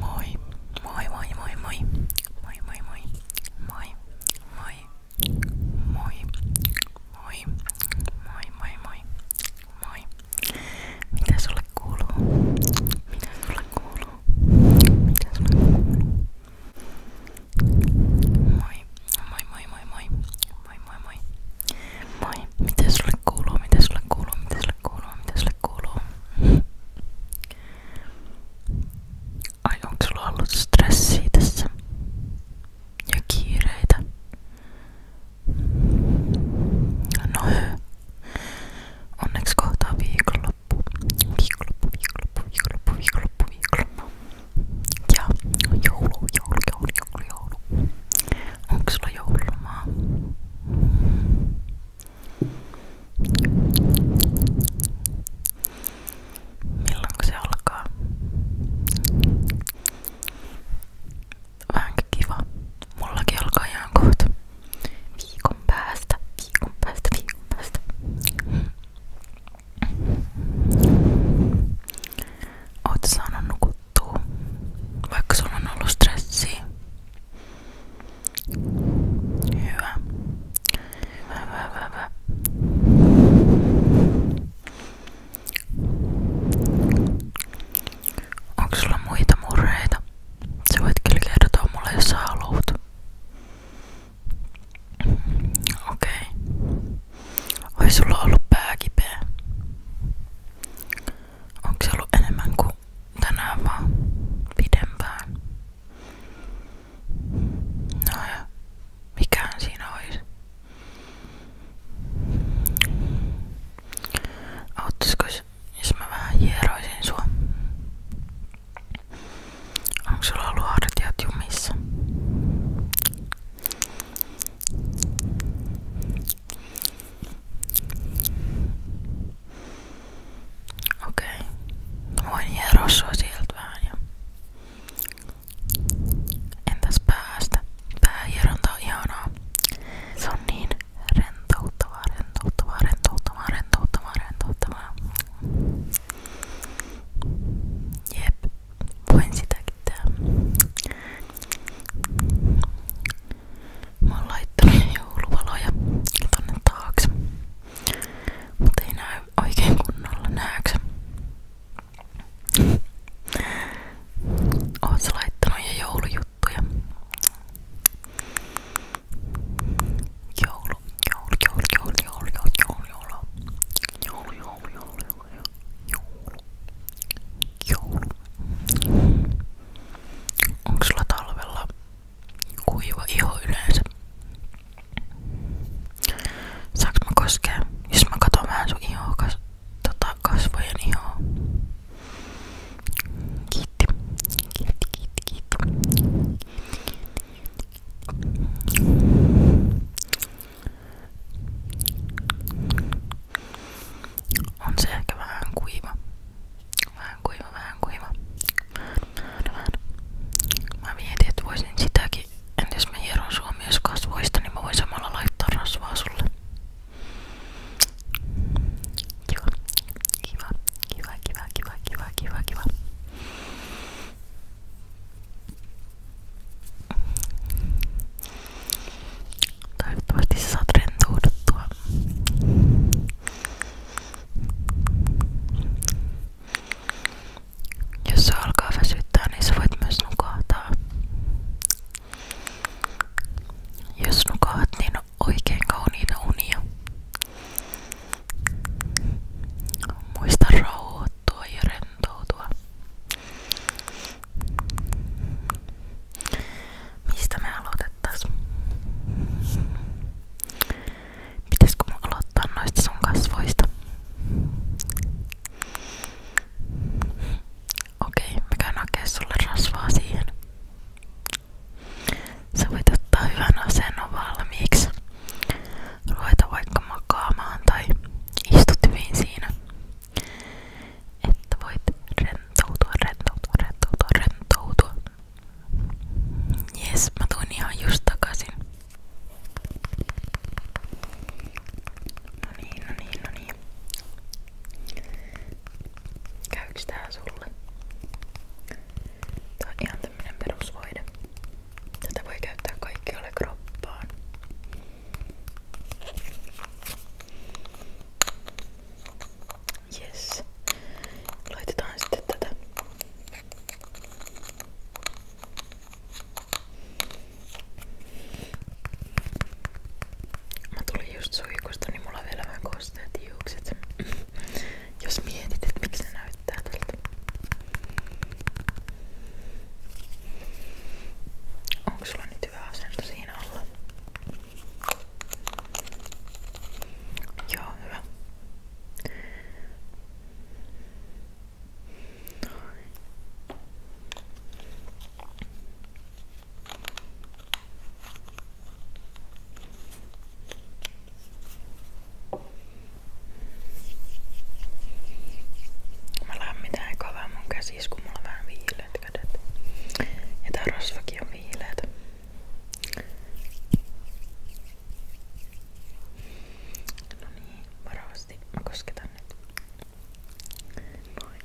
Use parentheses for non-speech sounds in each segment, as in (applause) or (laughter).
Moi, moi, moi, moi, moi, moi, moi, moi, moi, moi, moi, moi, moi, moi, moi, moi. Mitä sulle kuuluu? Mitä sulle kuuluu? Mitä sulle kuuluu? Moi, moi, moi, moi, moi, moi, moi, moi. Moi, mitä sulle kuuluu? Mitä sulle kuuluu? Mitä sulle kuuluu? Mitä sulle kuuluu? Ai onko sulla ollut stressiä tässä? Ja kiireitä? No hö. Onneksi kohtaa viikonloppu. Viikonloppu, viikonloppu, viikonloppu, viikonloppu, viikonloppu. Ja joulu, joulu, joulu, joulu, joulu. Onko sulla joululomaa? Milloin se alkaa? Vähänkin kiva. Mullakin alkaa ihan kohta. Viikon päästä, viikon päästä, viikon päästä. Oot saanut nukuttua, vaikka sulla on ollut stressiä. Hyvä. Hyvä, hyvä, hyvä, hyvä. sulla voit kyllä kertoa mulle, Okei. Okay. Oi sulla ollut pää kipeä? Onko se ollut enemmän kuin ollut tänään vaan pidempään. No ja mikään siinä olisi. Auttaisiko jos mä vähän hieroisin sua? Onko sulla ollut hartiat jumissa? No Okei. Okay. Voin hieroa sua sieltä vähän ja... Entäs päästä? Päähieronta on ihanaa. Se on niin rentouttavaa, rentouttavaa, rentouttavaa, rentouttavaa, rentouttavaa. Jep. Voin sitäkin tehdä. Mä oon laittanut jouluvaloja tonne taakse. Mut ei näy oikein kunnolla, näykö? Oot sä laittanut jo joulujuttuja? Joulu, joulu, joulu, joulu, joulu, joulu, joulu, joulu, joulu, joulu, joulu, joulu, joulu, joulu, joulu. Onko sulla talvella kuiva iho yleensä? Saanko mä koskea, jos mä katon vähän sun ihoa, kas, tota, kasvojen ihoa? Kiitti. Kiitti, kiitti, kiitti. kiitti on se ehkä vähän kuiva. Vähän kuiva, vähän kuiva. Mä mietin, että voisin sitäkin. Entä jos mä hieron suomios kasvoista, niin mä voin samalla laittaa rasvaa sulle. Kiva, kiva, kiva, kiva, kiva, kiva, kiva, kiva. Toivottavasti saat rentouduttua. Jos se alkaa väsyttää, niin sä voit myös nukahtaa. Jos nukahat, niin oikein kauniita unia. Muista rauhoittua ja rentoutua. Mistä me aloitettais? Pitäisikö mun aloittaa noista sun kasvoista? Okei, okay, mä käyn hakee sulle rasvaa siihen. Sä voit ottaa hyvän asennon valmiiksi. Ruveta vaikka makaamaan tai istut hyvin siinä. Että voit rentoutua, rentoutua, rentoutua, rentoutua. Jes, mä tuin ihan just takaisin. No niin, no niin, no niin. Käyks tää sulle? Tää on ihan tämmönen perusvoide. Tätä voi käyttää kaikkialle kroppaan. Yes. Laitetaan sitten tätä. Mä tulin just suihkusta, niin mulla on vielä vähän kosteet hiukset. (clears throat) Jos mietit, että miksi ne näyttää tältä. Onko sulla nyt hyvä asento siinä olla? Ja, nu då. Mä lämmitän eka vähän mun käsiä, kun mulla on vähän viilet kädet. Ja tää rasvakin on viileetä. No niin, varovasti mä kosketan nyt. Noin. Okei,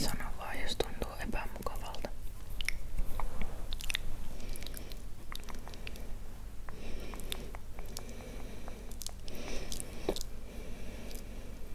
Sano vaan, jos tuntuu epämukavalta.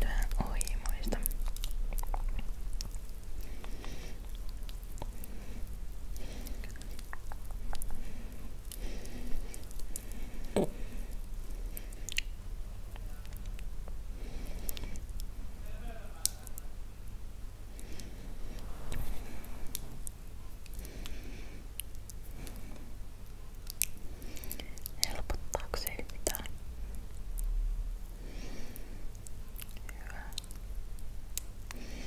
Tää on oimoista. Helpottaako se mitään? Hyvä. Okei.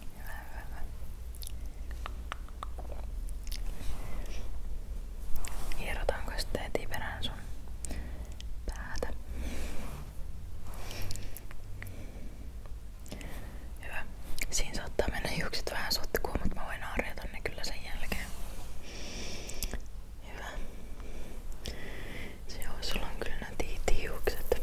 Hyvä, hyvä. Hierotaanko sitten heti perään sun päätä? Hyvä. Siinä saattaa mennä hiukset vähän sotkuun, mutta mä voin harjata ne kyllä sen jälkeen. Hyvä. Se on, sulla on kyllä nätiit hiukset.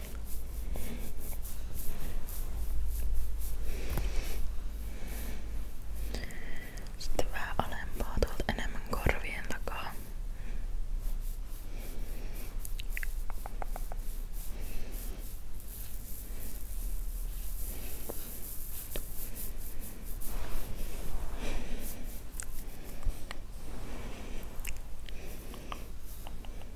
Sitten vähän alempaa tuolta enemmän korvien takaa.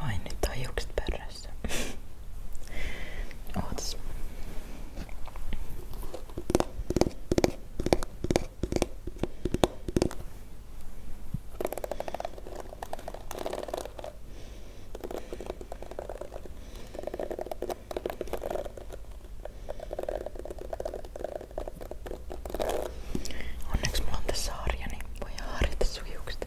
Noin, nyt on juokset pörrössä. (laughs) Ootas. Okei, Onneksi mulla on tässä harja, niin voi harjata sun hiukset.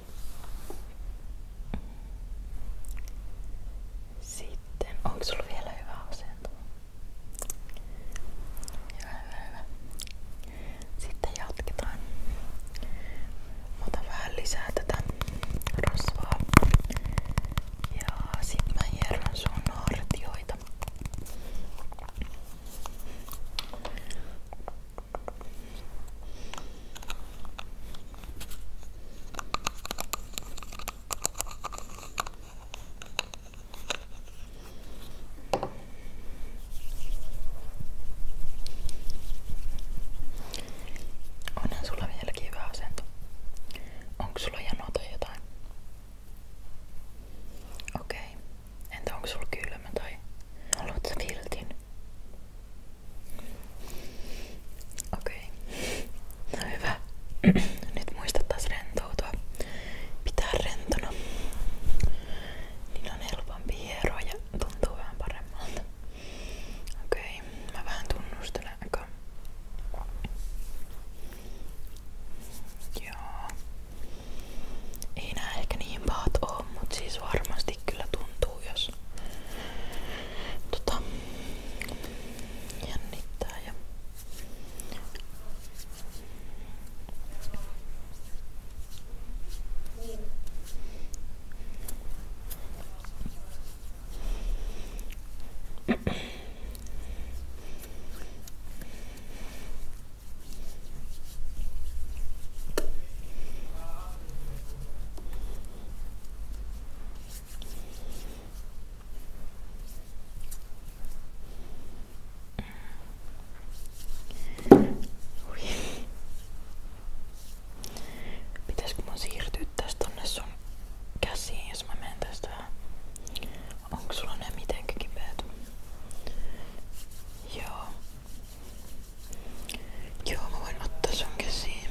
Sitten, onko sulla vielä hyvä asento? Hyvä, hyvä, hyvä. Sitten jatketaan. Mä otan vähän lisää tätä rasvaa. Ja sit mä hieron sun hartioita. Onhan sulla vieläkin hyvä asento. Onko sulla janoa tai Okei. Entä onko sulla kylmä tai haluatko sä viltin? Okei. Okay. No Nyt muista taas rentoutua. Pitää rentona. Niin on helpompi hieroa ja tuntuu vähän paremmalta. Okei, mä vähän tunnustelen Joo. Ei nää ehkä niin pahat oo, mut siis varmasti kovasti kyllä tuntuu, jos tota, jännittää. Ja Pitäisikö mun siirtyä tästä tonne sun käsiin, jos mä menen tästä vähän? Onko sulla ne mitenkään kipeät? Joo. Joo, mä voin ottaa sun käsiin.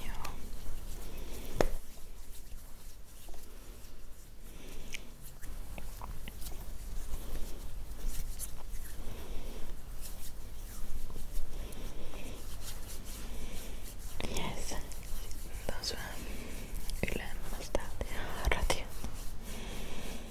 (laughs) Joo. Yes. Sitten taas vähän ylemmästä ratiota.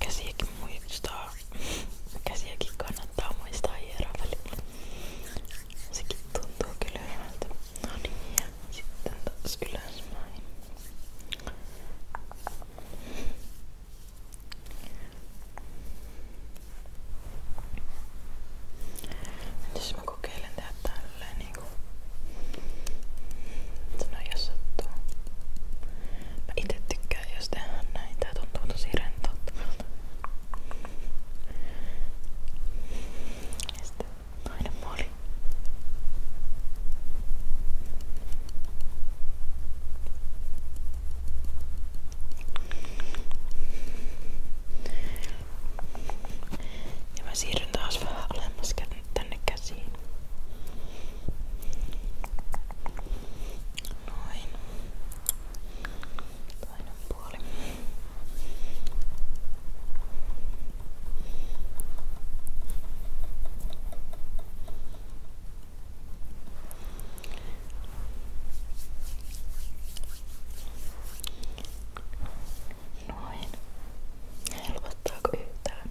Käsiäkin muistaa. Käsiäkin kannattaa muistaa hieroa välillä. Sekin tuntuu kyllä hyvältä. No niin, ja sitten taas ylöspäin. Jos mä kokeilen tehdä tälleen niinku... Sano jos sattuu. Mä itse tykkään jos tehdään näin. Tää tuntuu tosi Ja mä siirryn taas vähän alemmas tänne käsiin. Noin. Toinen puoli. Noin. Helpottaako yhtään?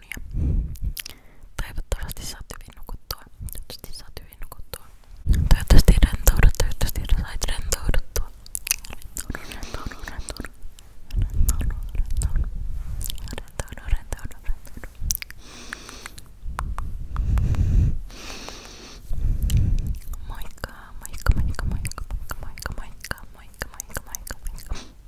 unia. Toivottavasti saat hyvin nukuttua. Toivottavasti saat hyvin nukuttua. Toivottavasti rentoudut, toivottavasti sait rentouduttua. Rentoudu, rentoudu, rentoudu. Rentoudu, rentoudu. Rentoudu, rentoudu, rentoudu. Moikka, moikka, moikka, moikka, moikka, moikka, moikka, moikka, moikka, moikka, moikka.